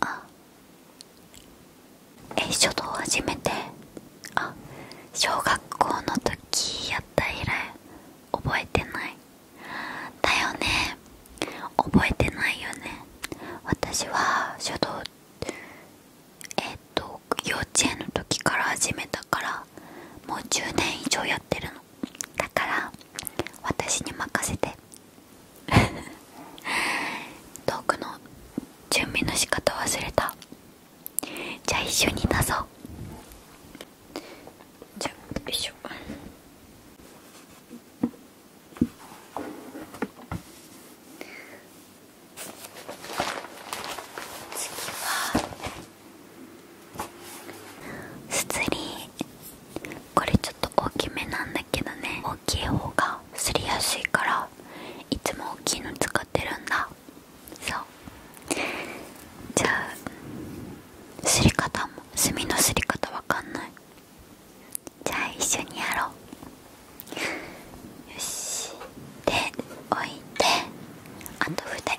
あえ書道初めてあ小学校の時やった以来覚えてないだよね覚えてないよね私は書道えっと幼稚園の時から始めたからもう10年以上やってるのだから私に任せてトークの準備の仕方忘れたじゃあ一緒になそうじゃあよいしょ次はすつりこれちょっと大きめなんだけどね大きい方がすりやすいからいつも大きいの使ってるんだそうじゃあすり方も墨のすり方わかんないじゃあ一緒にやろうよしで置いてあと筆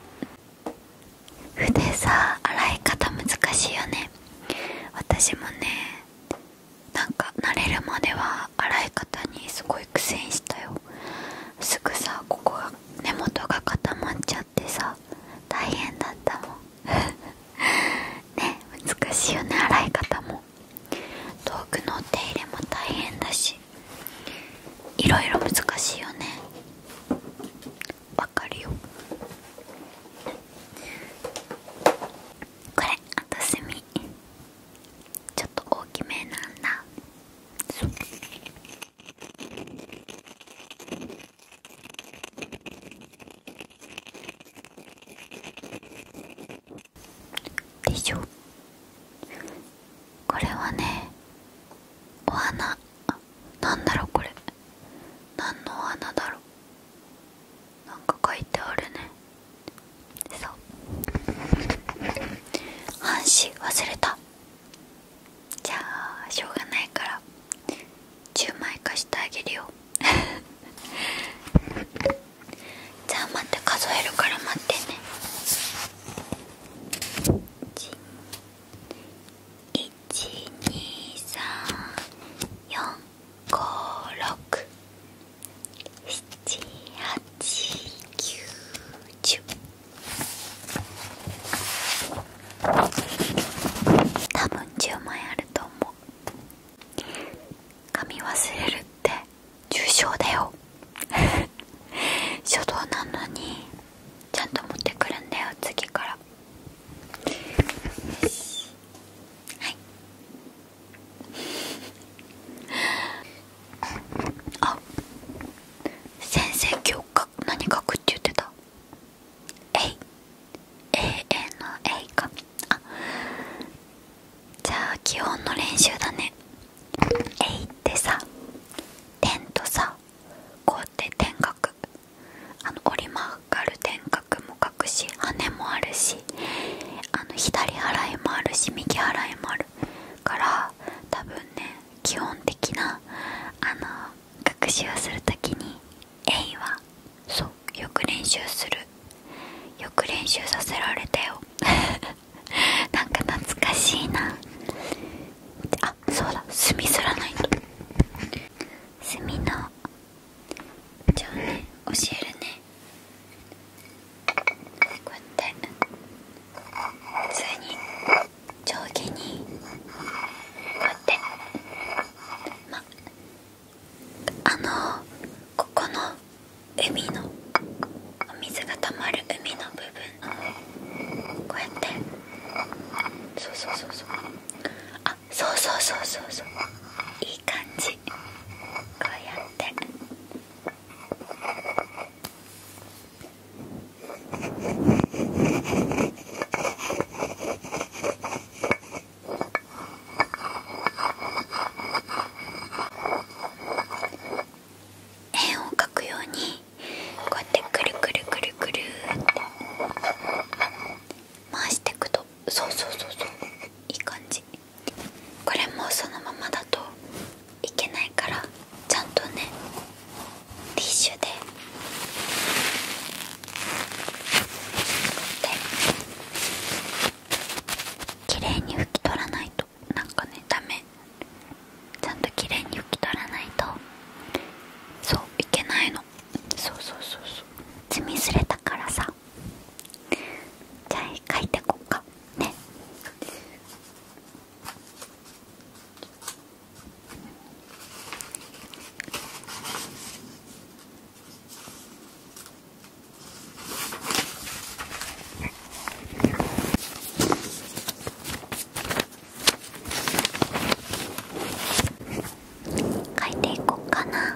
筆さ洗い方難しいよね私もねなんか慣れるまでは洗い方にすごい苦戦したよすぐさここが根元が固まっちゃってさ大変だったもん ね難しいよね洗い方も遠くのお手入れも大変だしいろいろ難しいよねわかるよこれあと墨ちょっと大きめなんだそうでしょこれはねお花あなんだろうこれ何のお花だろうか書いてあるねそう半紙忘れたじゃあしょうがないから10枚貸してあげるよじゃあまた数えるから待ってね12345678910多分10枚あると思う。髪忘れるって重症だよ 初動なのにちゃんと持ってくるんだよ次からよしはいあ先生今日か何書くって言ってた「えい。永」永遠の「えいかじゃあ基本の練習だね「えい」ってさ「点」とさこうって点書あの折り曲がる点角も書くし羽もあるしあの左払いもあるし右払いもあるから多分ね基本的なあの学習をする時に「えい」はそうよく練習するよく練習させられたよ なんか懐かしいなあそうだ墨すらないと墨のじゃあね教えるねこうやって普通に上下にこうやってまあのここの海のお水がたまる海の部分のこうやってそうそうそうそうあそうそうそうそうそういい感じこうやって。こ円を描くようにこうやってくるくるくるくるって回していくとそうそうそうそういい感じこれもそのままだといけないからちゃんとねティッシュできれいに拭き取らないとなんかねダメちゃんときれいに拭き取らないとそういけないのそうそうそうそう積みすれたからさじゃあ書いてこっかね書いていこうかな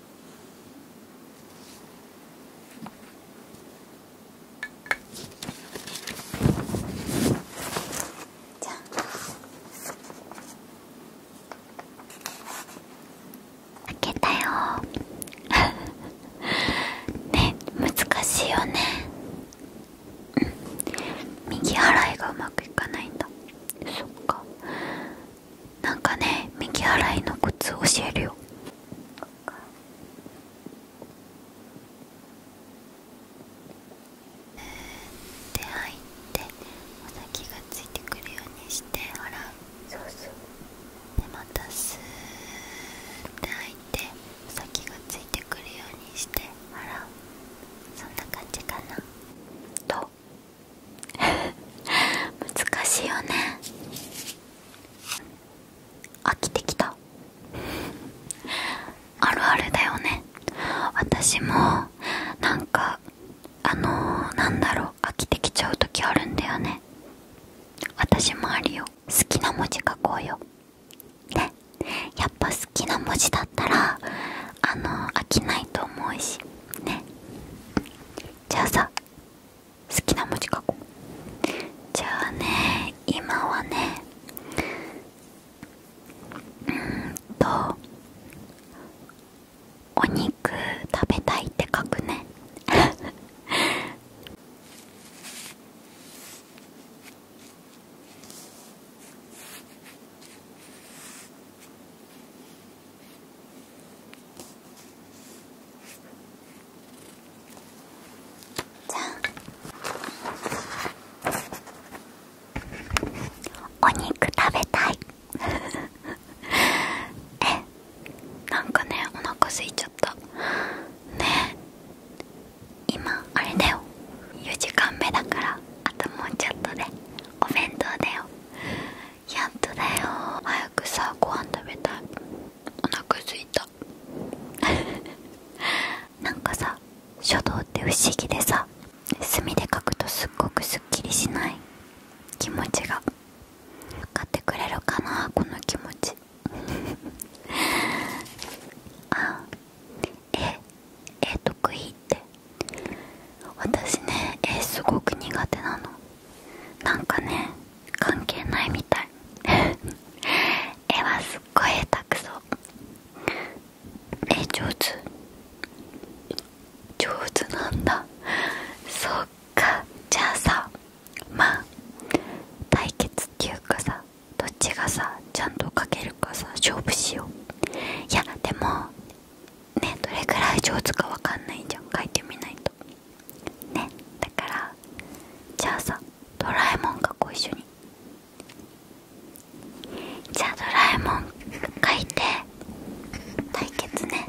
じゃん開けたよ ね難しいよねうん右払いがうまくいかないんだそっかなんかね右払いの靴教えるようで入ってお先がついてくるようにしてあら、そうそうでまたすーって入ってお先がついてくるようにしてあら。そんな感じかなと難しいよね飽きてきたあるあるだよね私もなんかあのー、なんだろう飽きてきちゃう時あるんだよね私もあるよ好きな文字書こうよねやっぱ好きな文字だったらあの飽きないと思うしねじゃあさ好きな文字書こうじゃあね今はねうんとお肉食べたいって書くね じゃんお肉食べたい えなんかねお腹すいちゃったねえ今あれだよ4時間目だからあともうちょっとでお弁当だよやっとだよ早くさご飯食べたいお腹すいた なんかさ書道って不思議でさ墨で書くとすっごくすっきりしない気持ちが買ってくれるかなこの気持ち あえ絵得意って私ね絵すごく苦手なのなんかね関係ないみたい 絵はすっごい下手くそ絵上手上手なんだそっかじゃあさまあ対決っていうかさどっちがさちゃんとかけるかさ勝負しよういやでもねどれくらい上手かわかんないじゃん書いてみないとねだからじゃあさドラえもんがこう一緒にじゃあドラえもん書いて対決ね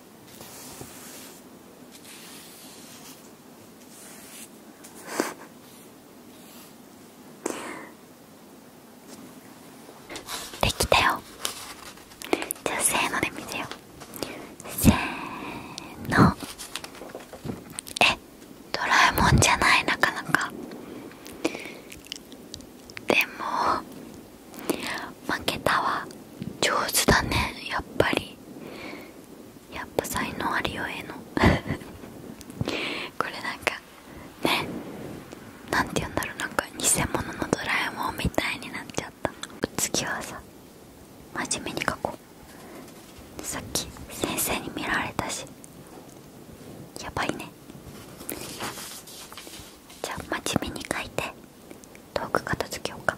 できたよじゃあせので見てよせーのえドラえもんじゃないなかなかでも負けたわ上手だねやっぱりやっぱ才能ありよえの これなんかねなんて言うんだろうなんか偽物のドラえもんみたいになっちゃった次はさ真面目に書こうさっき先生に見られたしやばいねじゃあ真面目に書いて遠く片付けようか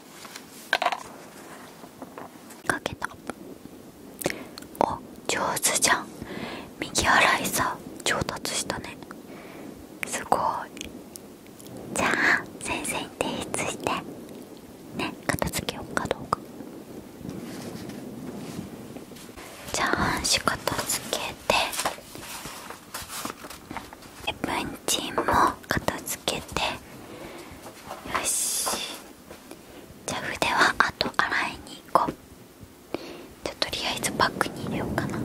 かけたお上手じゃん右洗いさ上達したねすごいじゃあ先生に提出してね片付けようかどうかじゃあ半紙片付けてえ、っ文チンも片付けてよしじゃあ筆はあと洗いに行こうじゃとりあえずバッグに入れようかな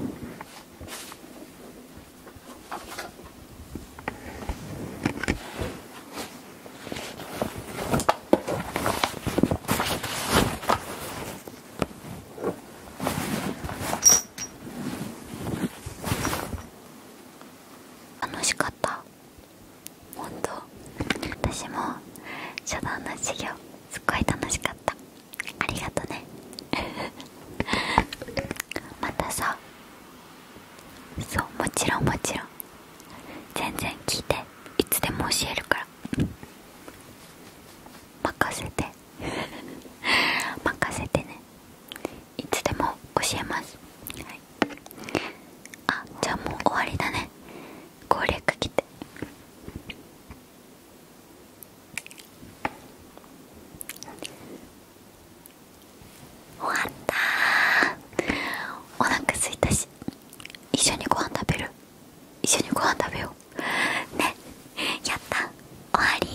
楽しかった本当私も初段の授業すっごい楽しかったありがとね またさそうもちろんもちろん全然聞いていつでも教えるから任せて 任せてねいつでも教えます、はい、あじゃあもう終わりだね攻略来て終わったーお腹すいたし一緒にご飯食べる一緒にご飯食べようねやった終わり